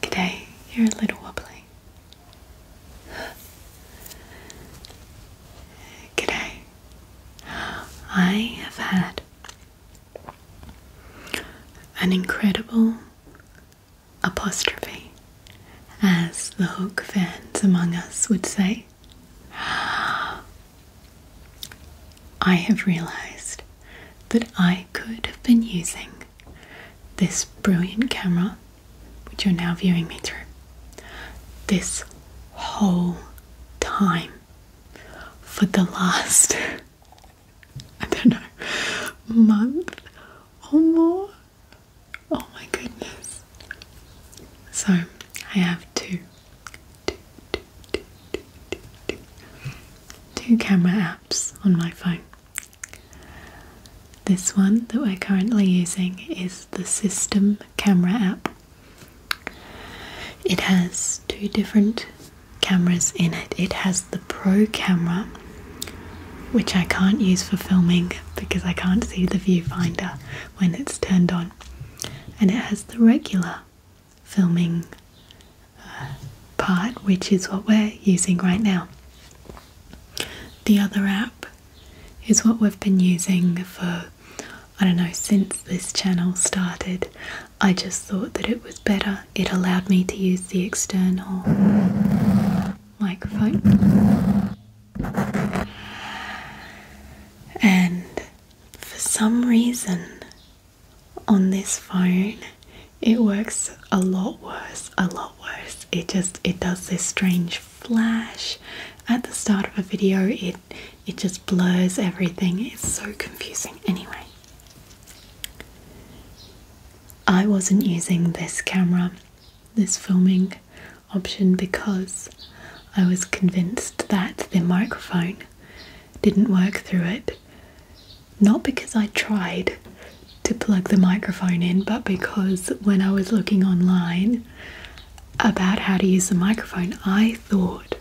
Good day. you're a little wobbly. G'day. I have had an incredible apostrophe, as the hook fans among us would say. I have realized that I could have been using this brilliant camera, which you're now viewing me through, this whole time for the last, I don't know, month or more. Oh my goodness. So I have to two camera apps on my phone. This one that we're currently using is the System Camera app. It has two different cameras in it. It has the Pro camera, which I can't use for filming because I can't see the viewfinder when it's turned on and it has the regular filming uh, part, which is what we're using right now. The other app is what we've been using for, I don't know, since this channel started. I just thought that it was better. It allowed me to use the external microphone and for some reason, on this phone, it works a lot worse, a lot worse. It just it does this strange flash at the start of a video. It it just blurs everything. It's so confusing. Anyway, I wasn't using this camera, this filming option because I was convinced that the microphone didn't work through it. Not because I tried to plug the microphone in, but because when I was looking online about how to use the microphone, I thought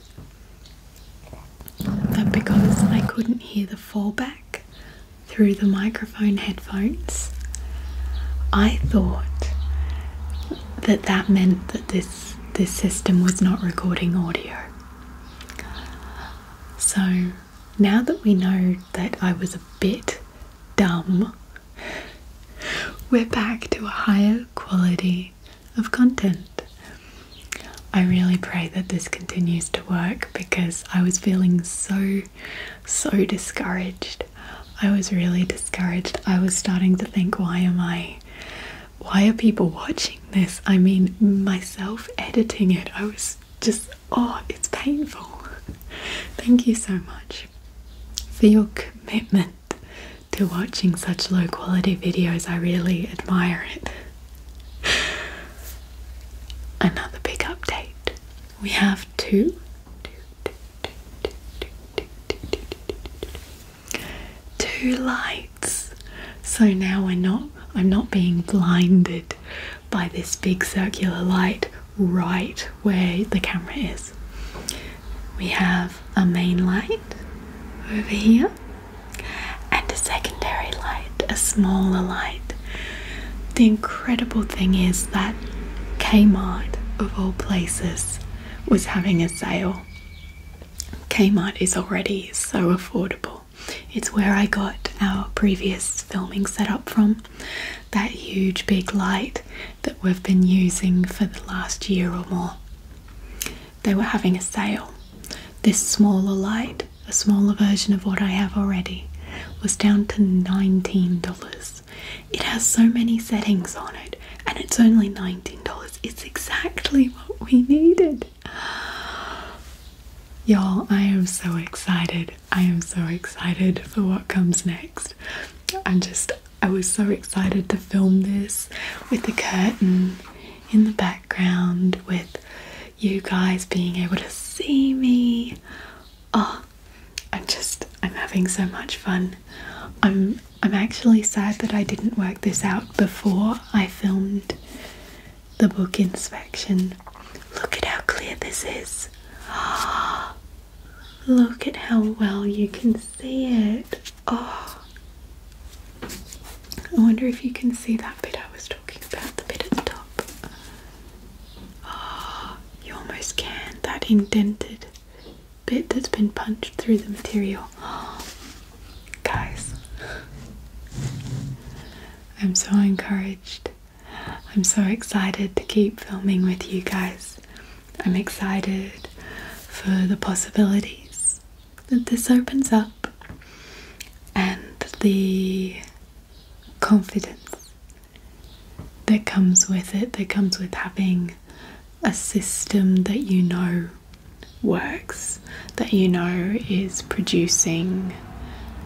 that because I couldn't hear the fallback through the microphone headphones, I thought that that meant that this this system was not recording audio. So now that we know that I was a bit dumb, we're back to a higher quality of content. I really pray that this continues to work because I was feeling so so discouraged. I was really discouraged. I was starting to think, why am I, why are people watching this? I mean, myself editing it, I was just, oh, it's painful. Thank you so much for your commitment to watching such low quality videos. I really admire it. Another big update. We have two Two lights. So now we're not I'm not being blinded by this big circular light right where the camera is. We have a main light over here and a secondary light, a smaller light the incredible thing is that Kmart, of all places, was having a sale. Kmart is already so affordable. It's where I got our previous filming setup from. That huge big light that we've been using for the last year or more. They were having a sale. This smaller light a smaller version of what I have already, was down to $19. It has so many settings on it, and it's only $19. It's exactly what we needed. Y'all, I am so excited. I am so excited for what comes next. I'm just, I was so excited to film this with the curtain in the background, with you guys being able to see me. Oh, I'm just I'm having so much fun. I'm I'm actually sad that I didn't work this out before I filmed the book inspection. Look at how clear this is. look at how well you can see it. Oh, I wonder if you can see that that bit I was talking about, the bit at the top. Ah, you almost can. That indented bit that's been punched through the material. Oh, guys, I'm so encouraged. I'm so excited to keep filming with you guys. I'm excited for the possibilities that this opens up and the confidence that comes with it, that comes with having a system that you know works, that you know is producing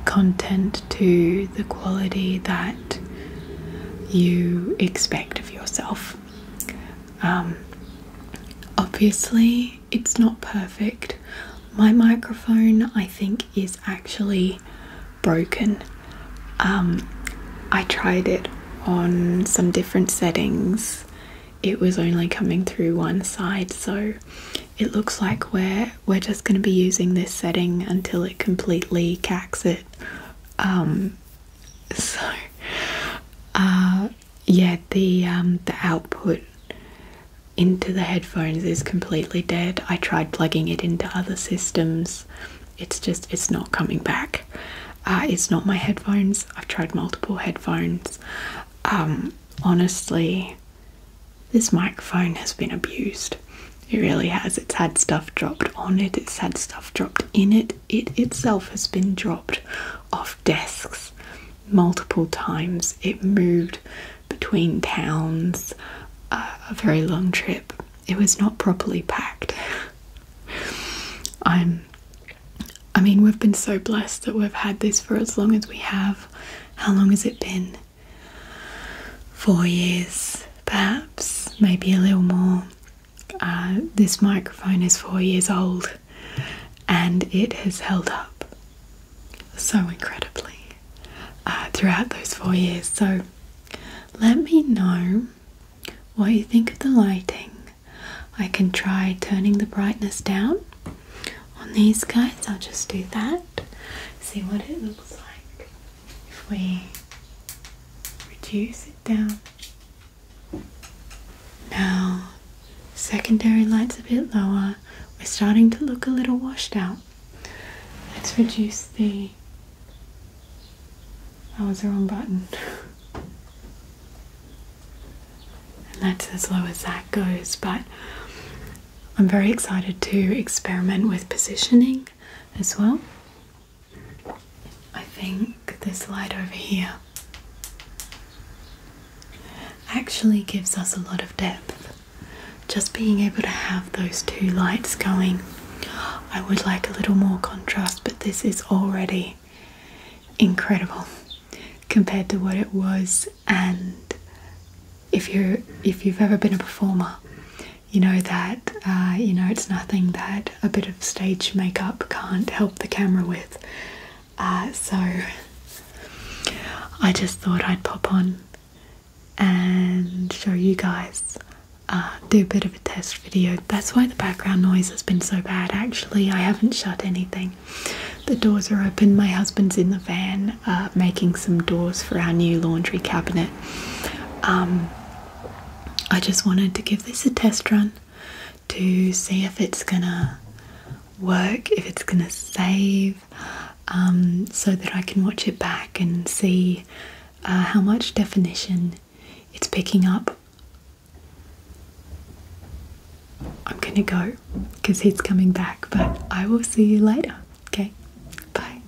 content to the quality that you expect of yourself. Um, obviously, it's not perfect. My microphone, I think, is actually broken. Um, I tried it on some different settings, it was only coming through one side, so it looks like we're we're just going to be using this setting until it completely cacks it. Um, so, uh, yeah, the um, the output into the headphones is completely dead. I tried plugging it into other systems. It's just it's not coming back. Uh, it's not my headphones. I've tried multiple headphones. Um, honestly, this microphone has been abused. It really has. It's had stuff dropped on it. It's had stuff dropped in it. It itself has been dropped off desks multiple times. It moved between towns, uh, a very long trip. It was not properly packed. I'm I mean, we've been so blessed that we've had this for as long as we have. How long has it been? Four years, perhaps, maybe a little more. Uh, this microphone is four years old and it has held up so incredibly uh, throughout those four years. So let me know what you think of the lighting. I can try turning the brightness down on these guys. I'll just do that, see what it looks like if we reduce it down. Now, secondary light's a bit lower. We're starting to look a little washed out. Let's reduce the. I was the wrong button. and that's as low as that goes, but I'm very excited to experiment with positioning as well. I think this light over here actually gives us a lot of depth. Just being able to have those two lights going. I would like a little more contrast, but this is already incredible compared to what it was and if you if you've ever been a performer you know that uh, you know it's nothing that a bit of stage makeup can't help the camera with. Uh, so I just thought I'd pop on and show you guys, uh, do a bit of a test video. That's why the background noise has been so bad. Actually, I haven't shut anything. The doors are open. My husband's in the van uh, making some doors for our new laundry cabinet. Um, I just wanted to give this a test run to see if it's gonna work, if it's gonna save, um, so that I can watch it back and see uh, how much definition it's picking up. I'm gonna go because he's coming back, but I will see you later. Okay, bye.